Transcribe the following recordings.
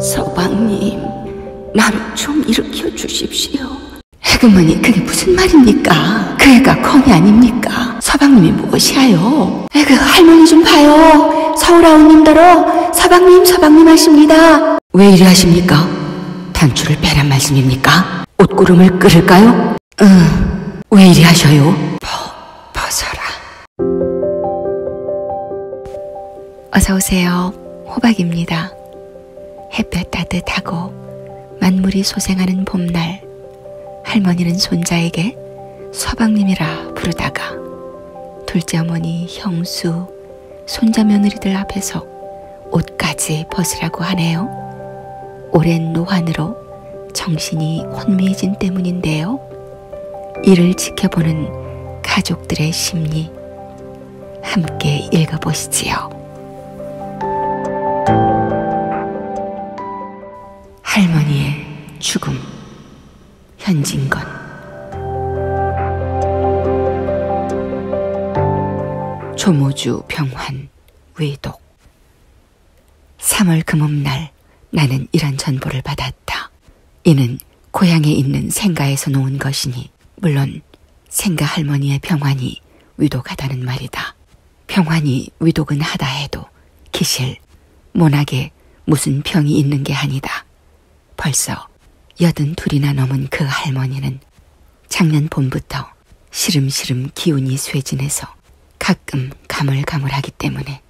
서방님, 나를 좀 일으켜 주십시오. 해그머니, 그게 무슨 말입니까? 그 애가 컴이 아닙니까? 서방님이 무엇이하요? 에그, 할머니 좀 봐요. 서울아우님더러 서방님, 서방님 하십니다. 왜 이리 하십니까? 단추를 빼란 말씀입니까? 옷구름을 끌을까요? 응, 어, 왜 이리 하셔요? 벗, 벗어라. 어서오세요. 호박입니다. 햇볕 따뜻하고 만물이 소생하는 봄날 할머니는 손자에게 서방님이라 부르다가 둘째 어머니, 형수, 손자 며느리들 앞에서 옷까지 벗으라고 하네요. 오랜 노환으로 정신이 혼미해진 때문인데요. 이를 지켜보는 가족들의 심리 함께 읽어보시지요. 할머니의 죽음 현진건 조모주 병환 외독 3월 금음날 나는 이런 전보를 받았다. 이는 고향에 있는 생가에서 놓은 것이니 물론 생가 할머니의 병환이 위독하다는 말이다. 병환이 위독은 하다 해도 기실 모나게 무슨 병이 있는 게 아니다. 벌써 여든 둘이나 넘은 그 할머니는 작년 봄부터 시름시름 기운이 쇠진해서 가끔 가물가물하기 때문에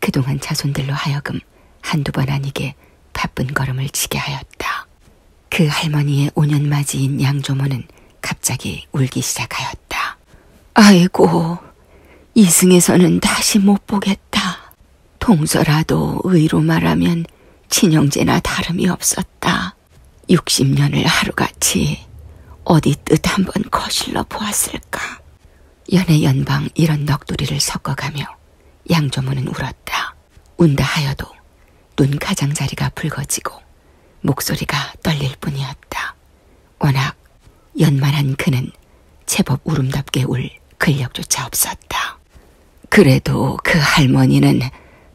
그동안 자손들로 하여금 한두 번 아니게 바쁜 걸음을 치게 하였다. 그 할머니의 5년 맞이인 양조모는 갑자기 울기 시작하였다. 아이고, 이승에서는 다시 못 보겠다. 동서라도 의로 말하면 친형제나 다름이 없었다. 60년을 하루같이 어디 뜻 한번 거실러 보았을까. 연애 연방 이런 넋두리를 섞어가며 양조문은 울었다. 운다 하여도 눈 가장자리가 붉어지고 목소리가 떨릴 뿐이었다. 워낙 연만한 그는 제법 울음답게 울 근력조차 없었다. 그래도 그 할머니는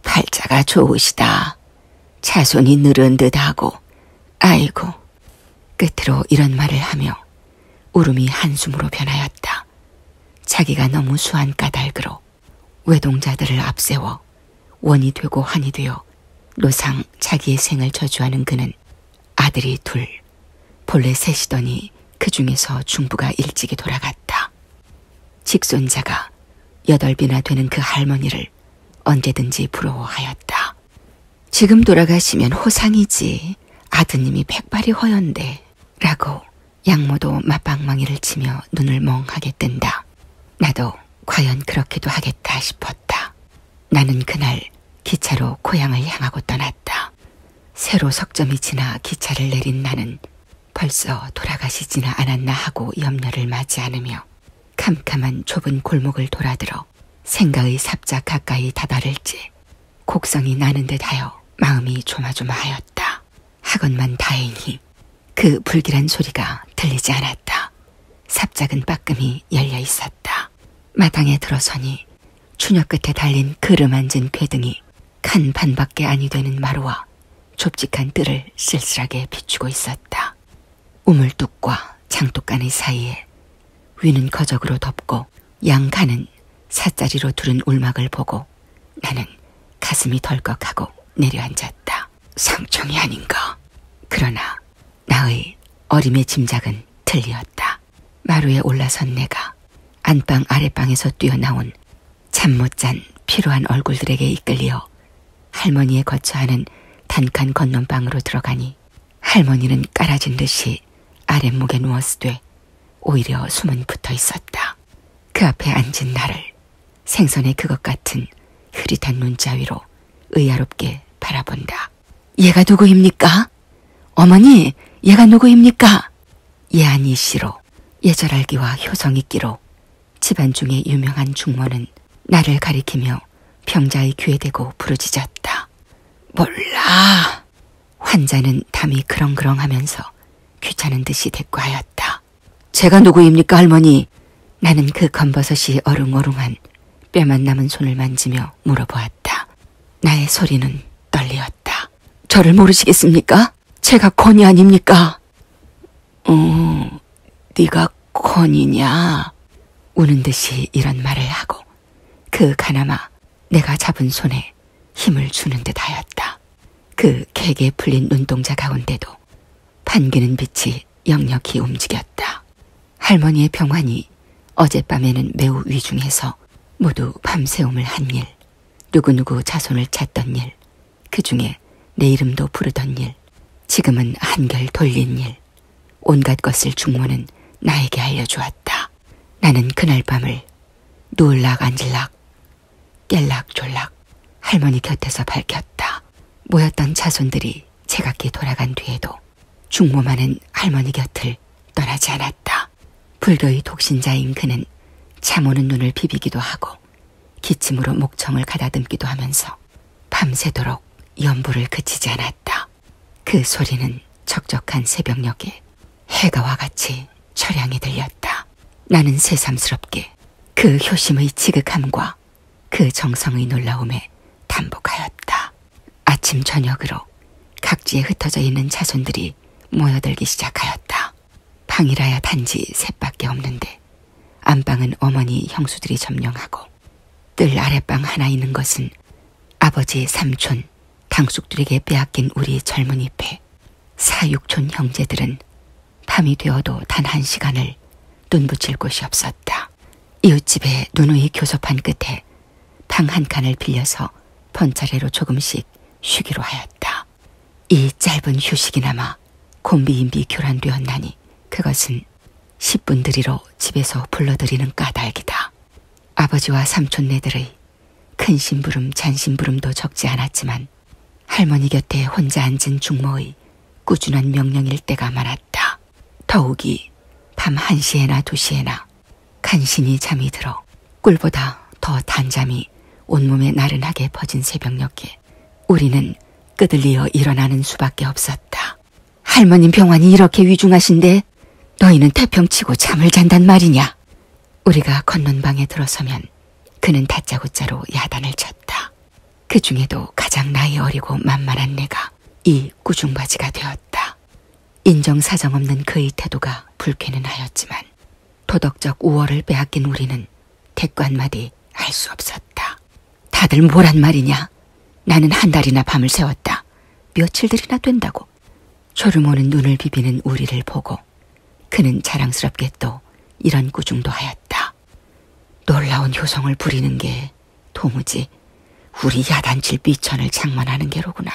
팔자가 좋으시다. 차손이 늘은 듯하고 아이고 끝으로 이런 말을 하며 울음이 한숨으로 변하였다. 자기가 너무 수한 까닭으로 외동자들을 앞세워 원이 되고 한이 되어 노상 자기의 생을 저주하는 그는 아들이 둘, 본래 셋이더니 그 중에서 중부가 일찍이 돌아갔다. 직손자가 여덟이나 되는 그 할머니를 언제든지 부러워하였다. 지금 돌아가시면 호상이지 아드님이 백발이 허연데 라고 양모도 맞방망이를 치며 눈을 멍하게 뜬다. 나도 과연 그렇게도 하겠다 싶었다. 나는 그날 기차로 고향을 향하고 떠났다. 새로 석점이 지나 기차를 내린 나는 벌써 돌아가시지나 않았나 하고 염려를 마지 않으며 캄캄한 좁은 골목을 돌아들어 생각의 삽자 가까이 다다를지 곡성이 나는 듯하여 마음이 조마조마하였다. 하건만 다행히 그 불길한 소리가 들리지 않았다. 삽작은 빠끔히 열려 있었다. 마당에 들어서니 추녀 끝에 달린 그름 앉은 괴등이 칸 반밖에 아니 되는 마루와 좁직한 뜰을 쓸쓸하게 비추고 있었다. 우물뚝과 장독간의 사이에 위는 거적으로 덮고 양간은 사짜리로 두른 울막을 보고 나는 가슴이 덜컥하고 내려앉았다. 상청이 아닌가? 그러나 나의 어림의 짐작은 틀렸다. 마루에 올라선 내가 안방 아랫방에서 뛰어나온 잠못잔 피로한 얼굴들에게 이끌려 할머니의 거처하는 단칸 건넌방으로 들어가니 할머니는 깔아진 듯이 아랫목에 누웠으되 오히려 숨은 붙어 있었다. 그 앞에 앉은 나를 생선의 그것 같은 흐릿한 눈자위로 의아롭게 바라본다. 얘가 누구입니까? 어머니, 얘가 누구입니까? 예안이 씨로 예절알기와 효성이 끼로 집안 중에 유명한 중모는 나를 가리키며 병자의 귀에 대고 부르짖었다. 몰라! 환자는 담이 그렁그렁하면서 귀찮은 듯이 대꾸하였다. 제가 누구입니까 할머니? 나는 그 검버섯이 어릉어릉한 뼈만 남은 손을 만지며 물어보았다. 나의 소리는 떨리었다. 저를 모르시겠습니까? 제가 권이 아닙니까? 음, 네가 권이냐? 우는 듯이 이런 말을 하고 그 가나마 내가 잡은 손에 힘을 주는 듯 하였다. 그 개게 풀린 눈동자 가운데도 반기는 빛이 역력히 움직였다. 할머니의 병환이 어젯밤에는 매우 위중해서 모두 밤새움을 한 일, 누구누구 자손을 찾던 일, 그 중에 내 이름도 부르던 일, 지금은 한결 돌린 일, 온갖 것을 중원은 나에게 알려주었다. 나는 그날 밤을 누울락 앉을락, 깰락졸락 할머니 곁에서 밝혔다. 모였던 자손들이 제각기 돌아간 뒤에도 중모만은 할머니 곁을 떠나지 않았다. 불교의 독신자인 그는 잠 오는 눈을 비비기도 하고 기침으로 목청을 가다듬기도 하면서 밤새도록 연불을 그치지 않았다. 그 소리는 적적한 새벽녘에 해가와 같이 철량이 들렸다. 나는 새삼스럽게 그 효심의 지극함과 그 정성의 놀라움에 담복하였다. 아침 저녁으로 각지에 흩어져 있는 자손들이 모여들기 시작하였다. 방이라야 단지 셋밖에 없는데 안방은 어머니 형수들이 점령하고 뜰 아랫방 하나 있는 것은 아버지 삼촌 당숙들에게 빼앗긴 우리 젊은이 패 사육촌 형제들은 밤이 되어도 단 한 시간을 눈붙일 곳이 없었다. 이웃집에 누누이 교섭한 끝에 방 한 칸을 빌려서 번차례로 조금씩 쉬기로 하였다. 이 짧은 휴식이나마 콤비인비 교란되었나니 그것은 10분 들이로 집에서 불러들이는 까닭이다. 아버지와 삼촌네들의 큰 심부름 잔심부름도 적지 않았지만 할머니 곁에 혼자 앉은 중모의 꾸준한 명령일 때가 많았다. 더욱이 밤 1시에나 2시에나 간신히 잠이 들어 꿀보다 더 단잠이 온몸에 나른하게 퍼진 새벽녘에 우리는 끄들리어 일어나는 수밖에 없었다. 할머님 병환이 이렇게 위중하신데 너희는 태평치고 잠을 잔단 말이냐? 우리가 건넌방에 들어서면 그는 다짜고짜로 야단을 쳤다. 그 중에도 가장 나이 어리고 만만한 내가 이 꾸중바지가 되었다. 인정사정 없는 그의 태도가 불쾌는 하였지만 도덕적 우월을 빼앗긴 우리는 대꾸 한마디 할 수 없었다. 다들 뭐란 말이냐? 나는 한 달이나 밤을 새웠다. 며칠들이나 된다고. 초를 모는 눈을 비비는 우리를 보고 그는 자랑스럽게 또 이런 꾸중도 하였다. 놀라운 효성을 부리는 게 도무지 우리 야단칠 비천을 장만하는 게로구나.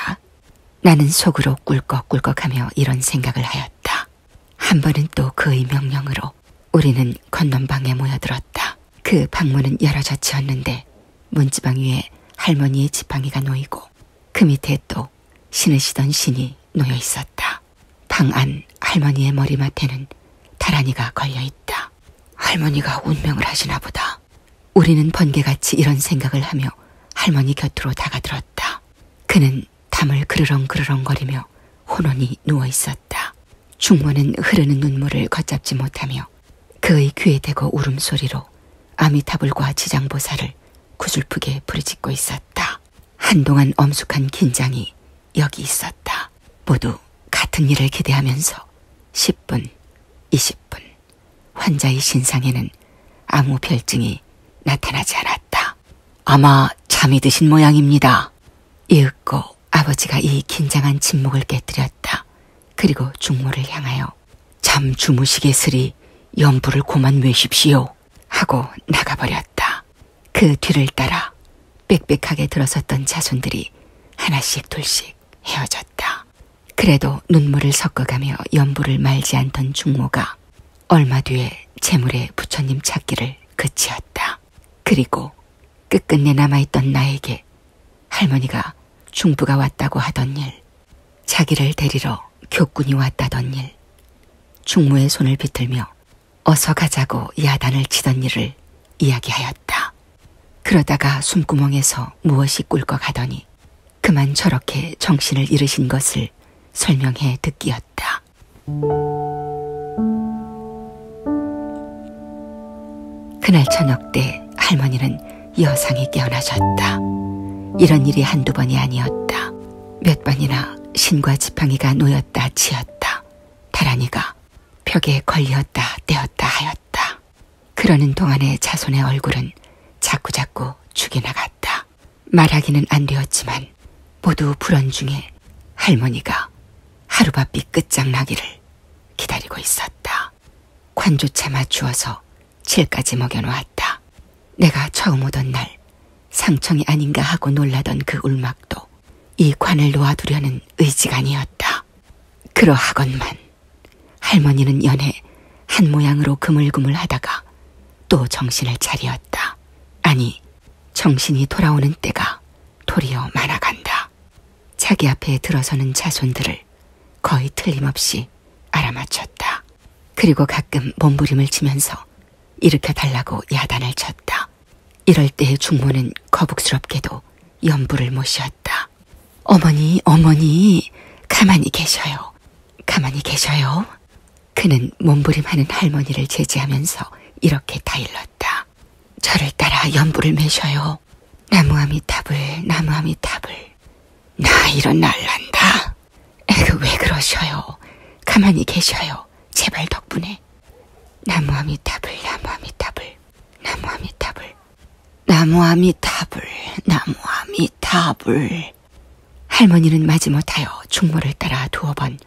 나는 속으로 꿀꺽꿀꺽하며 이런 생각을 하였다. 한 번은 또 그의 명령으로 우리는 건넌방에 모여들었다. 그 방문은 열어젖히었는데 문지방 위에 할머니의 지팡이가 놓이고 그 밑에 또 신을 시던 신이 놓여 있었다. 방 안 할머니의 머리맡에는 다란이가 걸려 있다. 할머니가 운명을 하시나 보다. 우리는 번개같이 이런 생각을 하며 할머니 곁으로 다가들었다. 그는 담을 그르렁그르렁거리며 혼원히 누워 있었다. 충모는 흐르는 눈물을 걷잡지 못하며 그의 귀에 대고 울음소리로 아미타불과 지장보살을 구슬프게 부르짖고 있었다. 한동안 엄숙한 긴장이 여기 있었다. 모두 같은 일을 기대하면서 10분, 20분 환자의 신상에는 아무 별증이 나타나지 않았다. 아마 잠이 드신 모양입니다. 이윽고 아버지가 이 긴장한 침묵을 깨뜨렸다. 그리고 중모를 향하여 잠 주무시겠으리 연부를 고만 외십시오 하고 나가버렸다. 그 뒤를 따라 빽빽하게 들어섰던 자손들이 하나씩 둘씩 헤어졌다. 그래도 눈물을 섞어가며 연부를 말지 않던 중모가 얼마 뒤에 재물의 부처님 찾기를 그치었다. 그리고 끝끝내 남아있던 나에게 할머니가 중부가 왔다고 하던 일, 자기를 데리러 교군이 왔다던 일, 중무의 손을 비틀며 어서 가자고 야단을 치던 일을 이야기하였다. 그러다가 숨구멍에서 무엇이 꿀꺽하더니 그만 저렇게 정신을 잃으신 것을 설명해 듣기였다. 그날 저녁 때 할머니는 여상이 깨어나셨다. 이런 일이 한두 번이 아니었다. 몇 번이나 신과 지팡이가 놓였다 치였다. 다란이가 벽에 걸렸다 떼었다 하였다. 그러는 동안에 자손의 얼굴은 자꾸자꾸 죽이 나갔다. 말하기는 안 되었지만 모두 불언 중에 할머니가 하루바삐 끝장나기를 기다리고 있었다. 관조차 맞추어서 칠까지 먹여놓았다. 내가 처음 오던 날 상청이 아닌가 하고 놀라던 그 울막도 이 관을 놓아두려는 의지가 아니었다. 그러하건만 할머니는 연해 한 모양으로 그물그물 하다가 또 정신을 차리었다. 아니, 정신이 돌아오는 때가 도리어 많아간다. 자기 앞에 들어서는 자손들을 거의 틀림없이 알아맞혔다. 그리고 가끔 몸부림을 치면서 일으켜 달라고 야단을 쳤다. 이럴 때의 중모는 거북스럽게도 연부를 모시었다. 어머니, 어머니, 가만히 계셔요. 가만히 계셔요. 그는 몸부림하는 할머니를 제지하면서 이렇게 다일렀다. 저를 따라 연부를 매셔요. 나무아미 탑을, 나무아미 탑을. 나 이런 날난다. 에그 왜 그러셔요. 가만히 계셔요. 제발 덕분에. 나무아미 탑을, 나무아미 탑을, 나무아미 탑을. 나무아미 탑을, 나무아미 탑을. 할머니는 마지못하여 충모를 따라 두어 번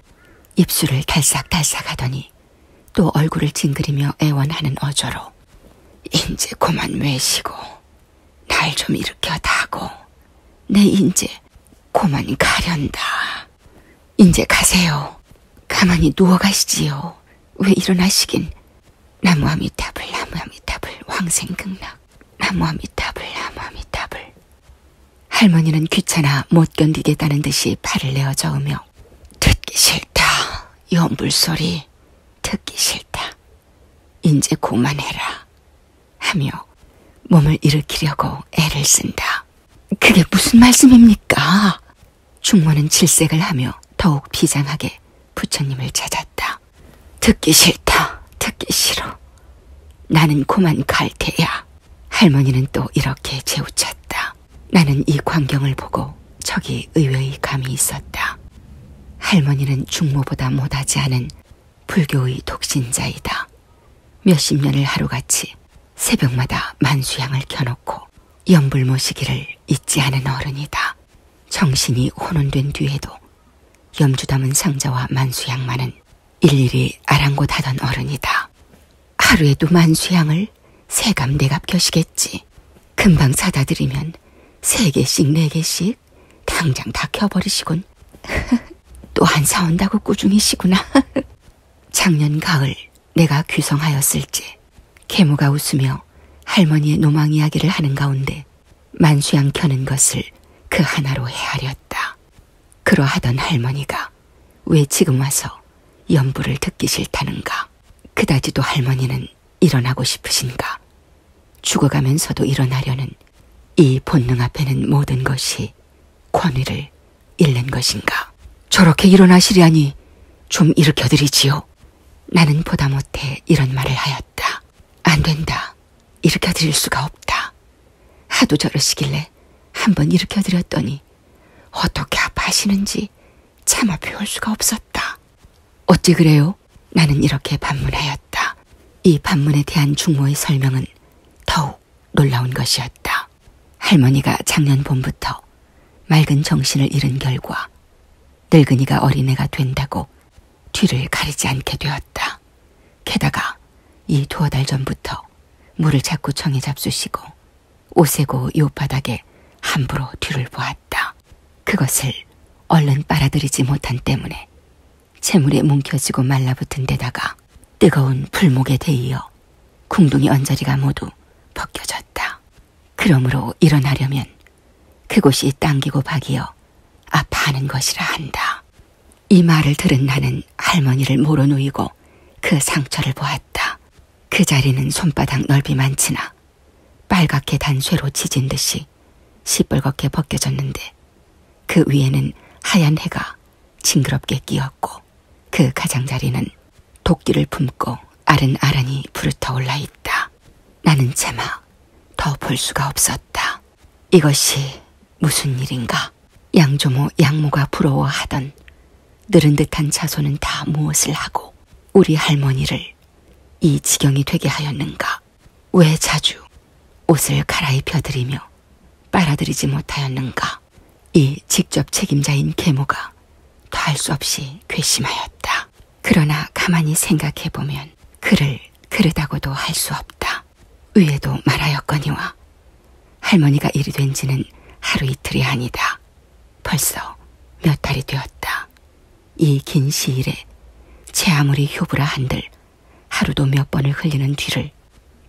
입술을 달싹달싹 하더니 또 얼굴을 찡그리며 애원하는 어조로 인제 그만 외시고 날 좀 일으켜 다고 내 인제 그만 가련다 인제 가세요 가만히 누워가시지요 왜 일어나시긴 나무아미타불 나무아미타불 왕생극락 나무아미타불 나무아미타불 할머니는 귀찮아 못 견디겠다는 듯이 팔을 내어 저으며 듣기 싫다. 요 물소리 듣기 싫다. 이제 그만해라. 하며 몸을 일으키려고 애를 쓴다. 그게 무슨 말씀입니까? 충모는 질색을 하며 더욱 비장하게 부처님을 찾았다. 듣기 싫다, 듣기 싫어. 나는 고만 갈 테야. 할머니는 또 이렇게 재우쳤다. 나는 이 광경을 보고 저기 의외의 감이 있었다. 할머니는 중모보다 못하지 않은 불교의 독신자이다. 몇십 년을 하루같이 새벽마다 만수향을 켜놓고 연불 모시기를 잊지 않은 어른이다. 정신이 혼돈된 뒤에도 염주 담은 상자와 만수향만은 일일이 아랑곳하던 어른이다. 하루에도 만수양을 세감대갑 켜시겠지. 금방 사다 드리면 세 개씩 네 개씩 당장 다 켜버리시곤. 또 한 사온다고 꾸중이시구나. 작년 가을 내가 귀성하였을지 계모가 웃으며 할머니의 노망 이야기를 하는 가운데 만취한 켜는 것을 그 하나로 헤아렸다. 그러하던 할머니가 왜 지금 와서 연부를 듣기 싫다는가? 그다지도 할머니는 일어나고 싶으신가? 죽어가면서도 일어나려는 이 본능 앞에는 모든 것이 권위를 잃는 것인가? 저렇게 일어나시리하니 좀 일으켜드리지요. 나는 보다 못해 이런 말을 하였다. 안 된다. 일으켜드릴 수가 없다. 하도 저러시길래 한 번 일으켜드렸더니 어떻게 아파하시는지 차마 배울 수가 없었다. 어찌 그래요? 나는 이렇게 반문하였다. 이 반문에 대한 중모의 설명은 더욱 놀라운 것이었다. 할머니가 작년 봄부터 맑은 정신을 잃은 결과 늙은이가 어린애가 된다고 뒤를 가리지 않게 되었다. 게다가 이 두어 달 전부터 물을 자꾸 청에 잡수시고 오세고 요바닥에 함부로 뒤를 보았다. 그것을 얼른 빨아들이지 못한 때문에 채물에 뭉켜지고 말라붙은 데다가 뜨거운 풀목에 대이어 궁둥이 언저리가 모두 벗겨졌다. 그러므로 일어나려면 그곳이 당기고 박이어 아파하는 것이라 한다. 이 말을 들은 나는 할머니를 모로 누이고 그 상처를 보았다. 그 자리는 손바닥 넓이만치나 빨갛게 단쇠로 지진 듯이 시뻘겋게 벗겨졌는데 그 위에는 하얀 해가 징그럽게 끼었고 그 가장자리는 도끼를 품고 아른아른히 부르터올라 있다. 나는 차마 더 볼 수가 없었다. 이것이 무슨 일인가? 양조모 양모가 부러워하던 느른 듯한 자손은 다 무엇을 하고 우리 할머니를 이 지경이 되게 하였는가? 왜 자주 옷을 갈아입혀드리며 빨아들이지 못하였는가? 이 직접 책임자인 계모가 더할 수 없이 괘씸하였다. 그러나 가만히 생각해보면 그를 그르다고도 할 수 없다. 위에도 말하였거니와 할머니가 일이 된 지는 하루 이틀이 아니다. 벌써 몇 달이 되었다. 이 긴 시일에 채 아무리 효부라 한들 하루도 몇 번을 흘리는 뒤를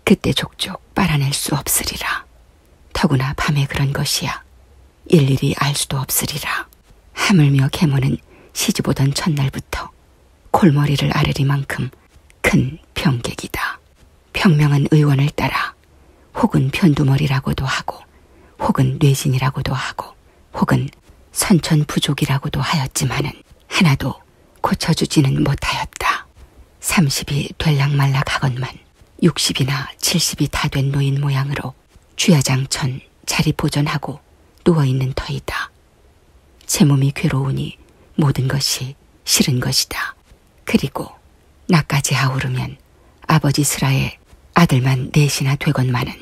그때 족족 빨아낼 수 없으리라. 더구나 밤에 그런 것이야. 일일이 알 수도 없으리라. 하물며 계모는 시집오던 첫날부터 골머리를 아르리만큼 큰 병객이다. 병명은 의원을 따라 혹은 편두머리라고도 하고 혹은 뇌진이라고도 하고 혹은 선천부족이라고도 하였지만은 하나도 고쳐주지는 못하였다. 30이 될락말락 하건만 60이나 70이 다 된 노인 모양으로 주야장천 자리 보전하고 누워있는 터이다. 제 몸이 괴로우니 모든 것이 싫은 것이다. 그리고 나까지 아우르면 아버지 슬하에 아들만 넷이나 되건만은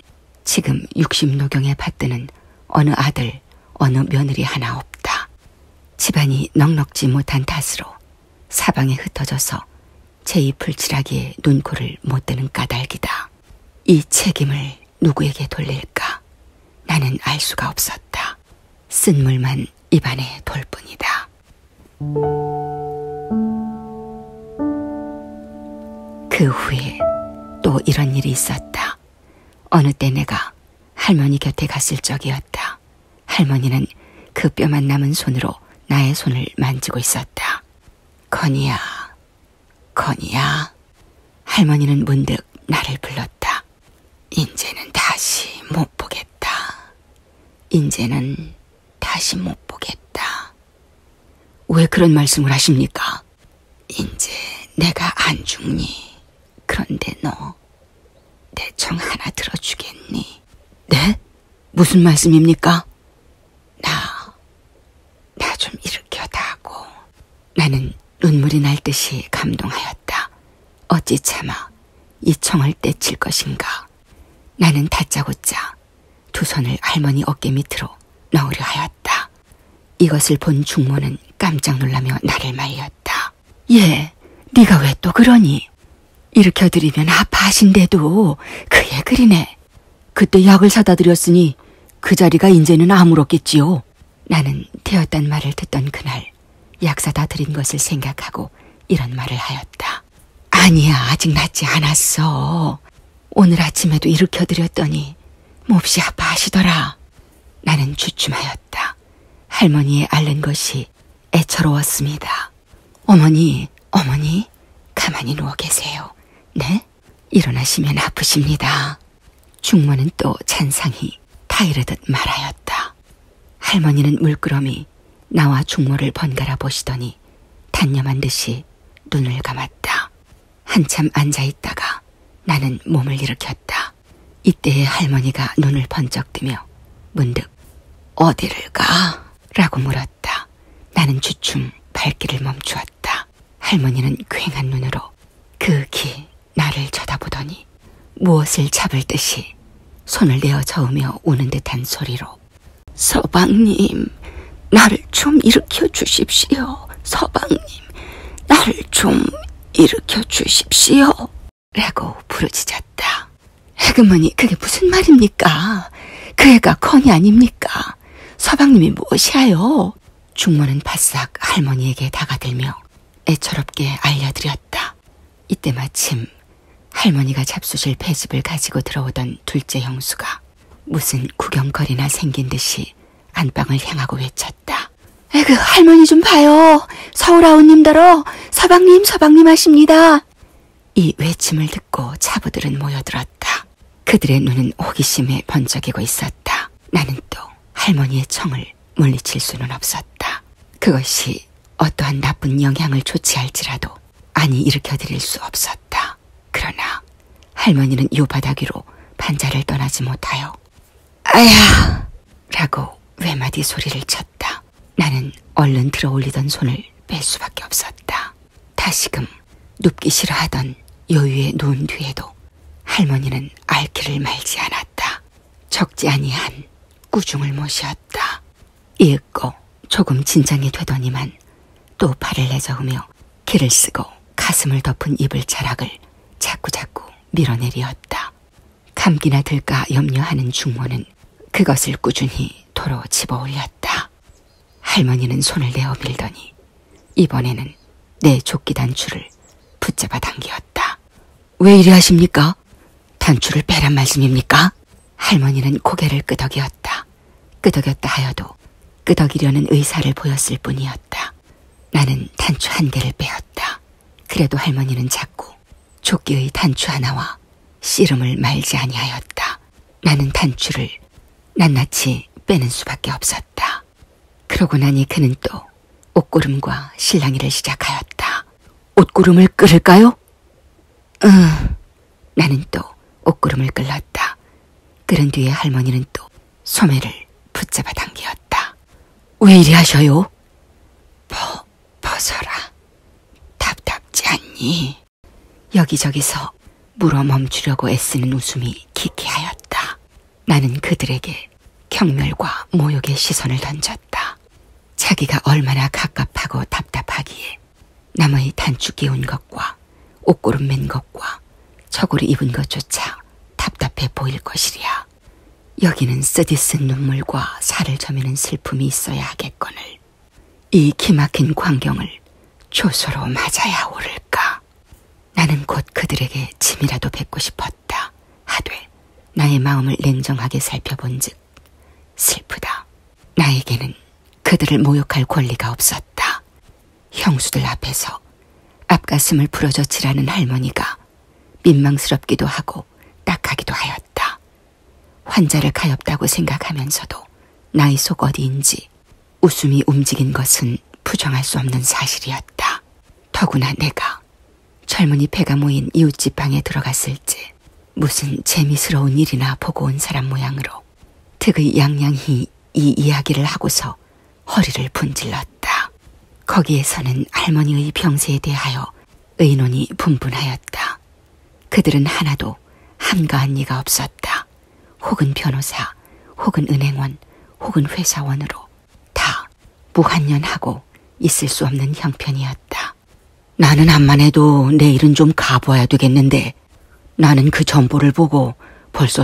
지금 육십노경에 받드는 어느 아들, 어느 며느리 하나 없다. 집안이 넉넉지 못한 탓으로 사방에 흩어져서 제 잎을 칠하기에 눈코를 못 드는 까닭이다. 이 책임을 누구에게 돌릴까? 나는 알 수가 없었다. 쓴물만 입안에 돌 뿐이다. 그 후에 또 이런 일이 있었다. 어느 때 내가 할머니 곁에 갔을 적이었다. 할머니는 그 뼈만 남은 손으로 나의 손을 만지고 있었다. 건이야, 건이야. 할머니는 문득 나를 불렀다. 인제는 다시 못 보겠다. 인제는 다시 못 보겠다. 왜 그런 말씀을 하십니까? 인제 내가 안 죽니? 그런데 너 내 정 하나 들어주겠니? 네? 무슨 말씀입니까? 나, 나 좀 일으켜 다고 나는 눈물이 날 듯이 감동하였다. 어찌 차마 이 청을 떼칠 것인가. 나는 다짜고짜 두 손을 할머니 어깨 밑으로 넣으려 하였다. 이것을 본 중모는 깜짝 놀라며 나를 말렸다. 예, 네가 왜 또 그러니? 일으켜드리면 아파하신데도 그의 그리네. 그때 약을 사다 드렸으니 그 자리가 인제는 아무렇겠지요. 나는 태웠단 말을 듣던 그날 약 사다 드린 것을 생각하고 이런 말을 하였다. 아니야, 아직 낫지 않았어. 오늘 아침에도 일으켜 드렸더니 몹시 아파하시더라. 나는 주춤하였다. 할머니의 앓는 것이 애처로웠습니다. 어머니, 어머니, 가만히 누워 계세요. 네? 일어나시면 아프십니다. 중모는 또 잔상이 타이르듯 말하였다. 할머니는 물끄러미 나와 중모를 번갈아 보시더니 단념한 듯이 눈을 감았다. 한참 앉아있다가 나는 몸을 일으켰다. 이때에 할머니가 눈을 번쩍 뜨며 문득 어디를 가? 라고 물었다. 나는 주춤 발길을 멈추었다. 할머니는 퀭한 눈으로 그윽히 나를 쳐다보더니 무엇을 잡을 듯이 손을 내어 저으며 우는 듯한 소리로 서방님, 나를 좀 일으켜 주십시오. 서방님, 나를 좀 일으켜 주십시오. 라고 부르짖었다. 해그머니, 그게 무슨 말입니까? 그 애가 컨이 아닙니까? 서방님이 무엇이하요? 중모는 바싹 할머니에게 다가들며 애처롭게 알려드렸다. 이때 마침 할머니가 잡수실 폐집을 가지고 들어오던 둘째 형수가 무슨 구경거리나 생긴 듯이 안방을 향하고 외쳤다. 에그 할머니 좀 봐요. 서울아우님더러 서방님 서방님 하십니다. 이 외침을 듣고 차부들은 모여들었다. 그들의 눈은 호기심에 번쩍이고 있었다. 나는 또 할머니의 청을 물리칠 수는 없었다. 그것이 어떠한 나쁜 영향을 조치할지라도 아니 일으켜드릴 수 없었다. 그러나 할머니는 요 바닥 위로 반자를 떠나지 못하여 아야! 라고 외마디 소리를 쳤다. 나는 얼른 들어올리던 손을 뺄 수밖에 없었다. 다시금 눕기 싫어하던 여유에 누운 뒤에도 할머니는 알기를 말지 않았다. 적지 아니한 꾸중을 모시었다. 이윽고 조금 진정이 되더니만 또 발을 내저으며 키를 쓰고 가슴을 덮은 이불 자락을 자꾸자꾸 밀어내리었다. 감기나 들까 염려하는 중모는 그것을 꾸준히 도로 집어올렸다. 할머니는 손을 내어 밀더니 이번에는 내 조끼 단추를 붙잡아 당기었다. 왜 이래 하십니까? 단추를 빼란 말씀입니까? 할머니는 고개를 끄덕이었다. 끄덕였다 하여도 끄덕이려는 의사를 보였을 뿐이었다. 나는 단추 한 개를 빼었다. 그래도 할머니는 자꾸 조끼의 단추 하나와 씨름을 말지 아니하였다. 나는 단추를 낱낱이 빼는 수밖에 없었다. 그러고 나니 그는 또 옷고름과 실랑이를 시작하였다. 옷고름을 끓을까요? 응. 어, 나는 또 옷고름을 끌렀다. 끓은 뒤에 할머니는 또 소매를 붙잡아 당기었다. 왜 이리 하셔요? 벗, 벗어라. 답답지 않니? 여기저기서 물어 멈추려고 애쓰는 웃음이 기키하였다. 나는 그들에게 경멸과 모욕의 시선을 던졌다. 자기가 얼마나 갑갑하고 답답하기에 남의 단추 끼운 것과 옷고름 맨 것과 저고를 입은 것조차 답답해 보일 것이랴. 여기는 쓰디쓴 눈물과 살을 저미는 슬픔이 있어야 하겠거늘 이 기막힌 광경을 조소로 맞아야 오를까. 나는 곧 그들에게 짐이라도 뱉고 싶었다. 하되 나의 마음을 냉정하게 살펴본 즉 슬프다. 나에게는 그들을 모욕할 권리가 없었다. 형수들 앞에서 앞가슴을 풀어젖히라는 할머니가 민망스럽기도 하고 딱하기도 하였다. 환자를 가엾다고 생각하면서도 나의 속 어디인지 웃음이 움직인 것은 부정할 수 없는 사실이었다. 더구나 내가 젊은이 배가 모인 이웃집 방에 들어갔을지 무슨 재미스러운 일이나 보고 온 사람 모양으로 특의 양양히 이 이야기를 하고서 허리를 분질렀다. 거기에서는 할머니의 병세에 대하여 의논이 분분하였다. 그들은 하나도 한가한 이가 없었다. 혹은 변호사, 혹은 은행원, 혹은 회사원으로 다 무한년하고 있을 수 없는 형편이었다. 나는 암만 해도 내일은 좀 가보아야 되겠는데 나는 그 정보를 보고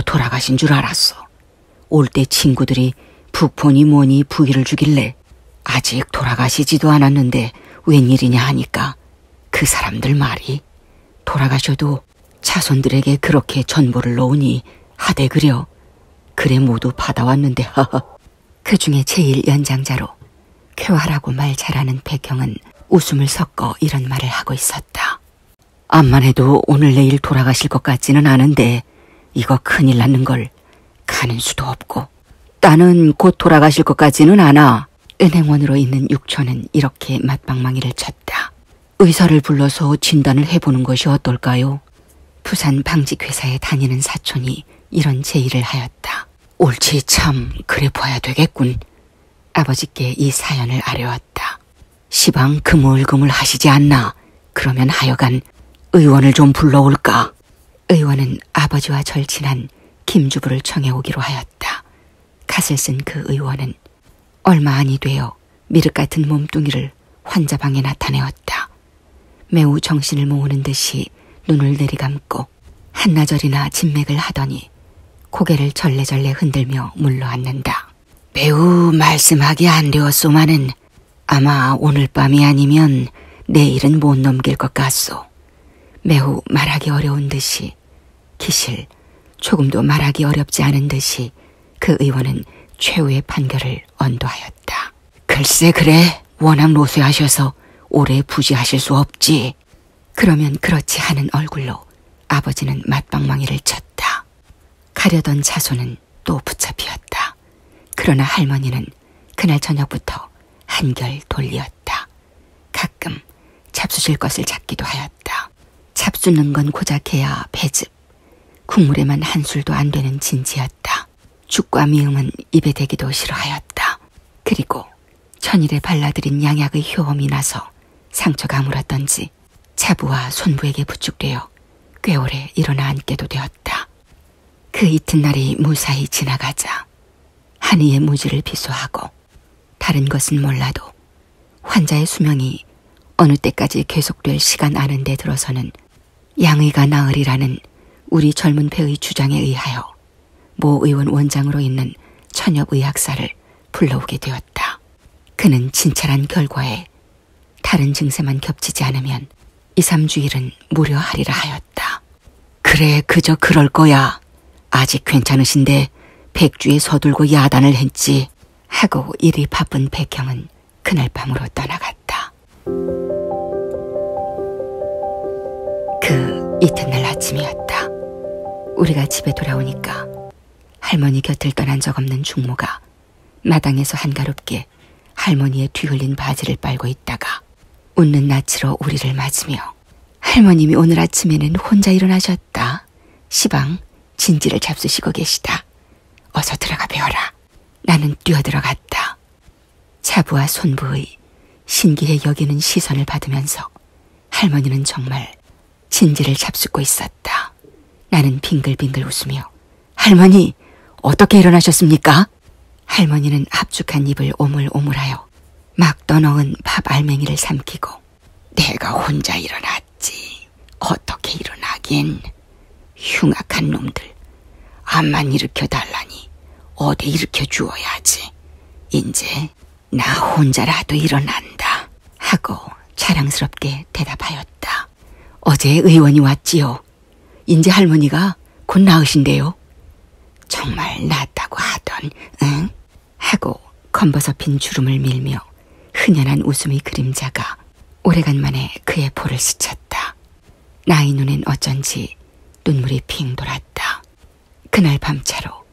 벌써 돌아가신 줄 알았어. 올 때 친구들이 북폰이 뭐니 부기를 주길래 아직 돌아가시지도 않았는데 웬일이냐 하니까 그 사람들 말이 돌아가셔도 자손들에게 그렇게 전보를 놓으니 하되 그려 그래 모두 받아왔는데 하하 그 중에 제일 연장자로 쾌활하고 말 잘하는 백형은 웃음을 섞어 이런 말을 하고 있었다. 암만 해도 오늘 내일 돌아가실 것 같지는 않은데 이거 큰일 났는 걸 가는 수도 없고 나는 곧 돌아가실 것 같지는 않아. 은행원으로 있는 육촌은 이렇게 맞방망이를 쳤다. 의사를 불러서 진단을 해보는 것이 어떨까요? 부산 방직회사에 다니는 사촌이 이런 제의를 하였다. 옳지 참 그래 보아야 되겠군. 아버지께 이 사연을 아뢰었다. 시방 그물그물 하시지 않나. 그러면 하여간 의원을 좀 불러올까. 의원은 아버지와 절친한 김주부를 청해 오기로 하였다. 갓을 쓴 그 의원은 얼마 안이 되어 미륵 같은 몸뚱이를 환자방에 나타내었다. 매우 정신을 모으는 듯이 눈을 내리감고 한나절이나 진맥을 하더니 고개를 절레절레 흔들며 물러앉는다. 매우 말씀하기 안 되었소마는 아마 오늘 밤이 아니면 내일은 못 넘길 것 같소. 매우 말하기 어려운 듯이 기실 조금도 말하기 어렵지 않은 듯이 그 의원은 최후의 판결을 언도하였다. 글쎄 그래 워낙 노쇠하셔서 오래 부지하실 수 없지. 그러면 그렇지 하는 얼굴로 아버지는 맞방망이를 쳤다. 가려던 자손은 또 붙잡히었다. 그러나 할머니는 그날 저녁부터 한결 돌리었다. 가끔 잡수실 것을 잡기도 하였다. 잡수는 건 고작해야 배즙. 국물에만 한 술도 안 되는 진지였다. 죽과 미음은 입에 대기도 싫어하였다. 그리고 천일에 발라들인 양약의 효험이 나서 상처가 물었던지 차부와 손부에게 부축되어 꽤 오래 일어나 앉게도 되었다. 그 이튿날이 무사히 지나가자 한이의 무지를 비소하고 다른 것은 몰라도 환자의 수명이 어느 때까지 계속될 시간 아는 데 들어서는 양의가 나으리라는 우리 젊은 패의 주장에 의하여 모 의원 원장으로 있는 천엽의학사를 불러오게 되었다. 그는 진찰한 결과에 다른 증세만 겹치지 않으면 2, 3주일은 무료하리라 하였다. 그래, 그저 그럴 거야. 아직 괜찮으신데 백주에 서둘고 야단을 했지 하고 일이 바쁜 백형은 그날 밤으로 떠나갔다. 그 이튿날 아침이었다. 우리가 집에 돌아오니까 할머니 곁을 떠난 적 없는 중모가 마당에서 한가롭게 할머니의 뒤흘린 바지를 빨고 있다가 웃는 낯으로 우리를 맞으며 할머님이 오늘 아침에는 혼자 일어나셨 찾았다. 시방 진지를 잡수시고 계시다. 어서 들어가 배워라. 나는 뛰어들어갔다. 차부와 손부의 신기해 여기는 시선을 받으면서 할머니는 정말 진지를 잡수고 있었다. 나는 빙글빙글 웃으며 할머니 어떻게 일어나셨습니까? 할머니는 합죽한 입을 오물오물하여 막 떠넣은 밥 알맹이를 삼키고 내가 혼자 일어났지. 어떻게 일어나긴. 흉악한 놈들. 암만 일으켜 달라니. 어디 일으켜 주어야지. 이제 나 혼자라도 일어난다. 하고 자랑스럽게 대답하였다. 어제 의원이 왔지요. 이제 할머니가 곧 나으신데요. 정말 낫다고 하던, 응? 하고 검버섯 핀 주름을 밀며 흔연한 웃음의 그림자가 오래간만에 그의 볼을 스쳤다. 나의 눈엔 어쩐지 눈물이 핑 돌았다. 그날 밤차로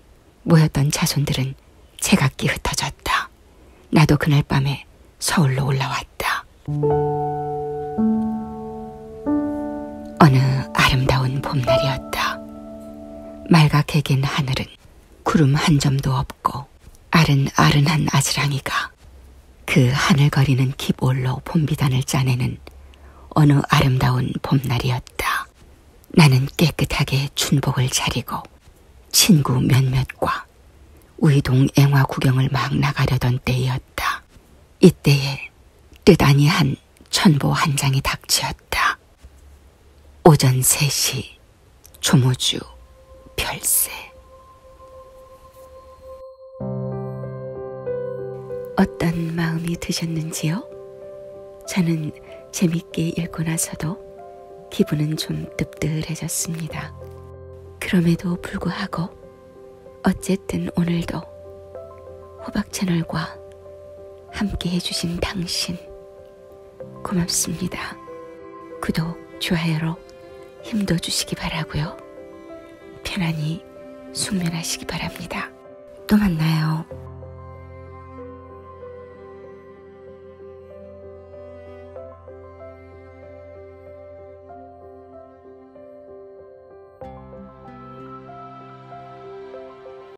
모였던 자손들은 제각기 흩어졌다. 나도 그날 밤에 서울로 올라왔다. 어느 아름다운 봄날이었다. 말갛게 긴 하늘은 구름 한 점도 없고 아른아른한 아지랑이가 그 하늘거리는 깁올로 봄비단을 짜내는 어느 아름다운 봄날이었다. 나는 깨끗하게 춘복을 차리고 친구 몇몇과 우이동 앵화 구경을 막 나가려던 때이었다. 이때에 뜻아니한 천보 한 장이 닥치었다. 오전 3시 조모주 별세 어떤 마음이 드셨는지요? 저는 재밌게 읽고 나서도 기분은 좀 뜨뜻해졌습니다. 그럼에도 불구하고 어쨌든 오늘도 호박 채널과 함께 해주신 당신 고맙습니다. 구독, 좋아요로 힘도 주시기 바라고요. 편안히 숙면하시기 바랍니다. 또 만나요.